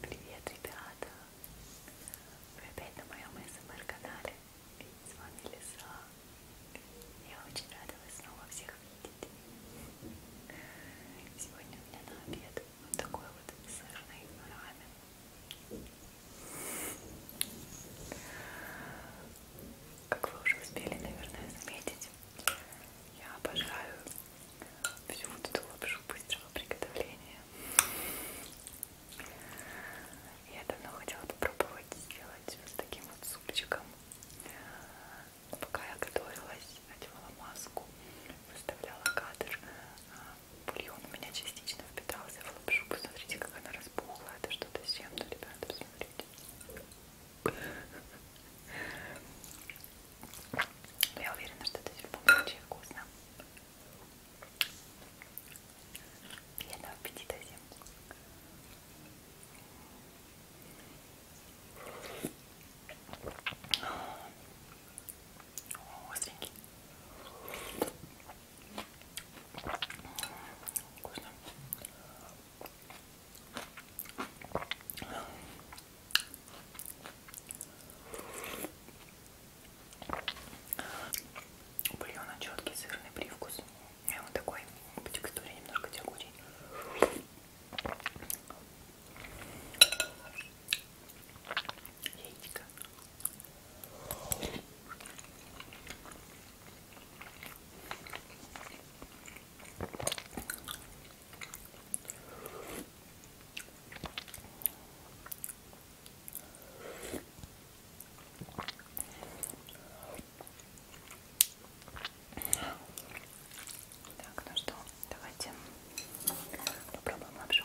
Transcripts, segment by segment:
Привет, ребята! Вы опять на моем СМР-канале. С вами Лиса. Я очень рада вас снова всех видеть. Сегодня у меня на обед такой вот сырный рамен. Как вы уже успели, наверное, заметить, я обожаю всю вот эту лапшу быстрого приготовления. Я давно хотела попробовать сделать вот с таким вот супчиком. Пока я готовилась, надевала маску, выставляла кадр, а, бульон у меня частично впитался в лапшу. Посмотрите, как она распухла. Это что-то с чем-то, ребята, посмотрите. Я уверена, что это все очень вкусно. Приятного аппетита всем остренький. Вкусно. У бульона четкий сырный привкус. И он такой по текстуре немножко тягучий. Яичко. Так, ну что, давайте попробуем лапшу.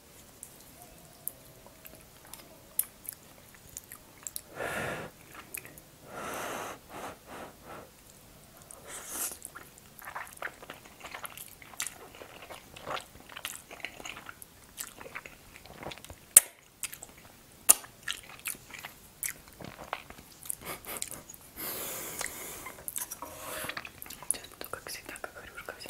Сейчас буду, как всегда, как хрюшка вся.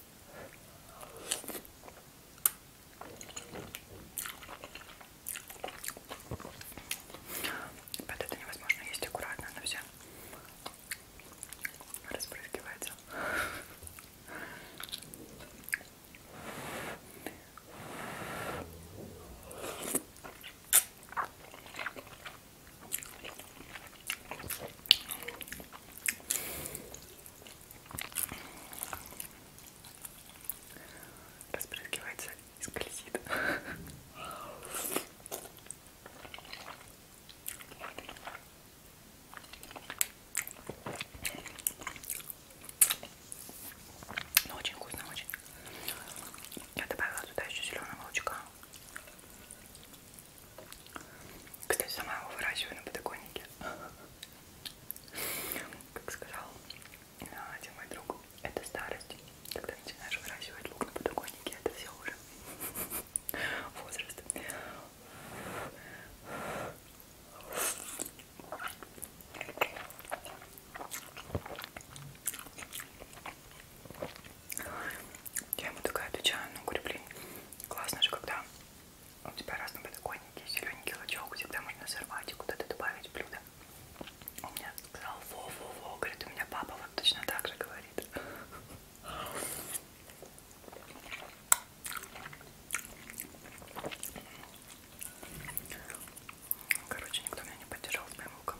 Под это невозможно есть аккуратно, она вся распрыскивается. Разбрызгивается и скользит. Ну, очень вкусно, очень. Я добавила туда еще зеленого лучка. Кстати, сама его выращиваю на подоконнике. Как сказал а, один мой друг, это старость. Когда начинаешь выращивать лук на подоконнике, это все уже возраст. Я ему такая отвечаю, ну говорю, блин, классно же, когда у тебя разные подоконники, зелененький лучок, всегда можно сорвать и куда-то добавить блюдо. Он мне сказал, во-во-во, говорит, у меня папа вот точно так же говорит. Короче, никто меня не поддержал с моим луком.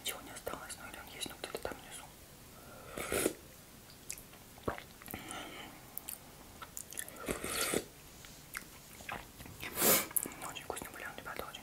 Ничего не осталось, но или он есть, но где-то там внизу. Ну, очень вкусный бульон, ребята, очень.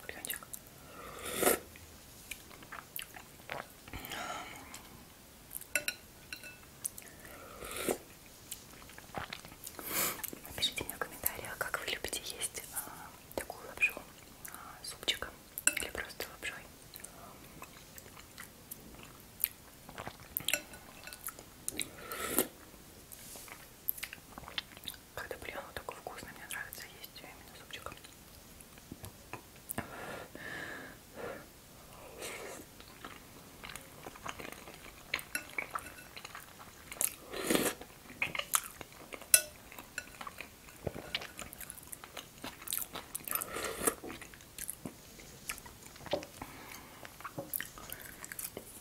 Бульончик. Напишите мне в комментариях, как вы любите есть а, такую лапшу а, супчиком или просто лапшой. Когда блин, он такой вкусный, мне нравится есть ее именно супчиком.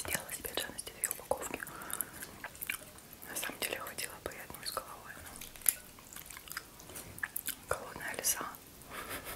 Сделала себе ценности две упаковки. На самом деле хватило бы и одну с головой, но голодная лиса.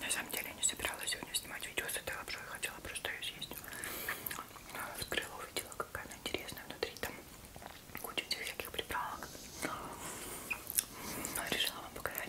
На самом деле я не собиралась сегодня снимать видео с этой лапшой, хотела просто ее съесть. Но а, открыла, увидела, какая она интересная внутри, там куча всяких приправок. Но ну, решила вам показать.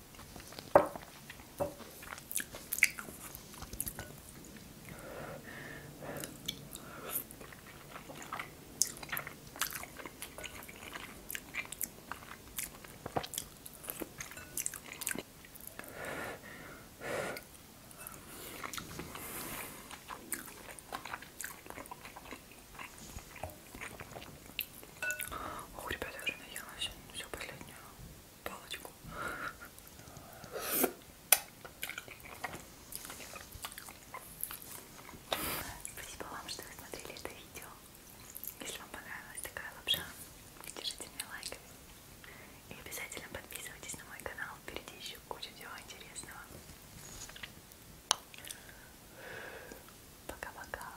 Ох, ребята, я уже наелась. Все последнее палочку. Спасибо вам, что вы смотрели это видео. Если вам понравилась такая лапша, держите мне лайк. И обязательно подписывайтесь на мой канал. Впереди еще куча всего интересного. Пока-пока.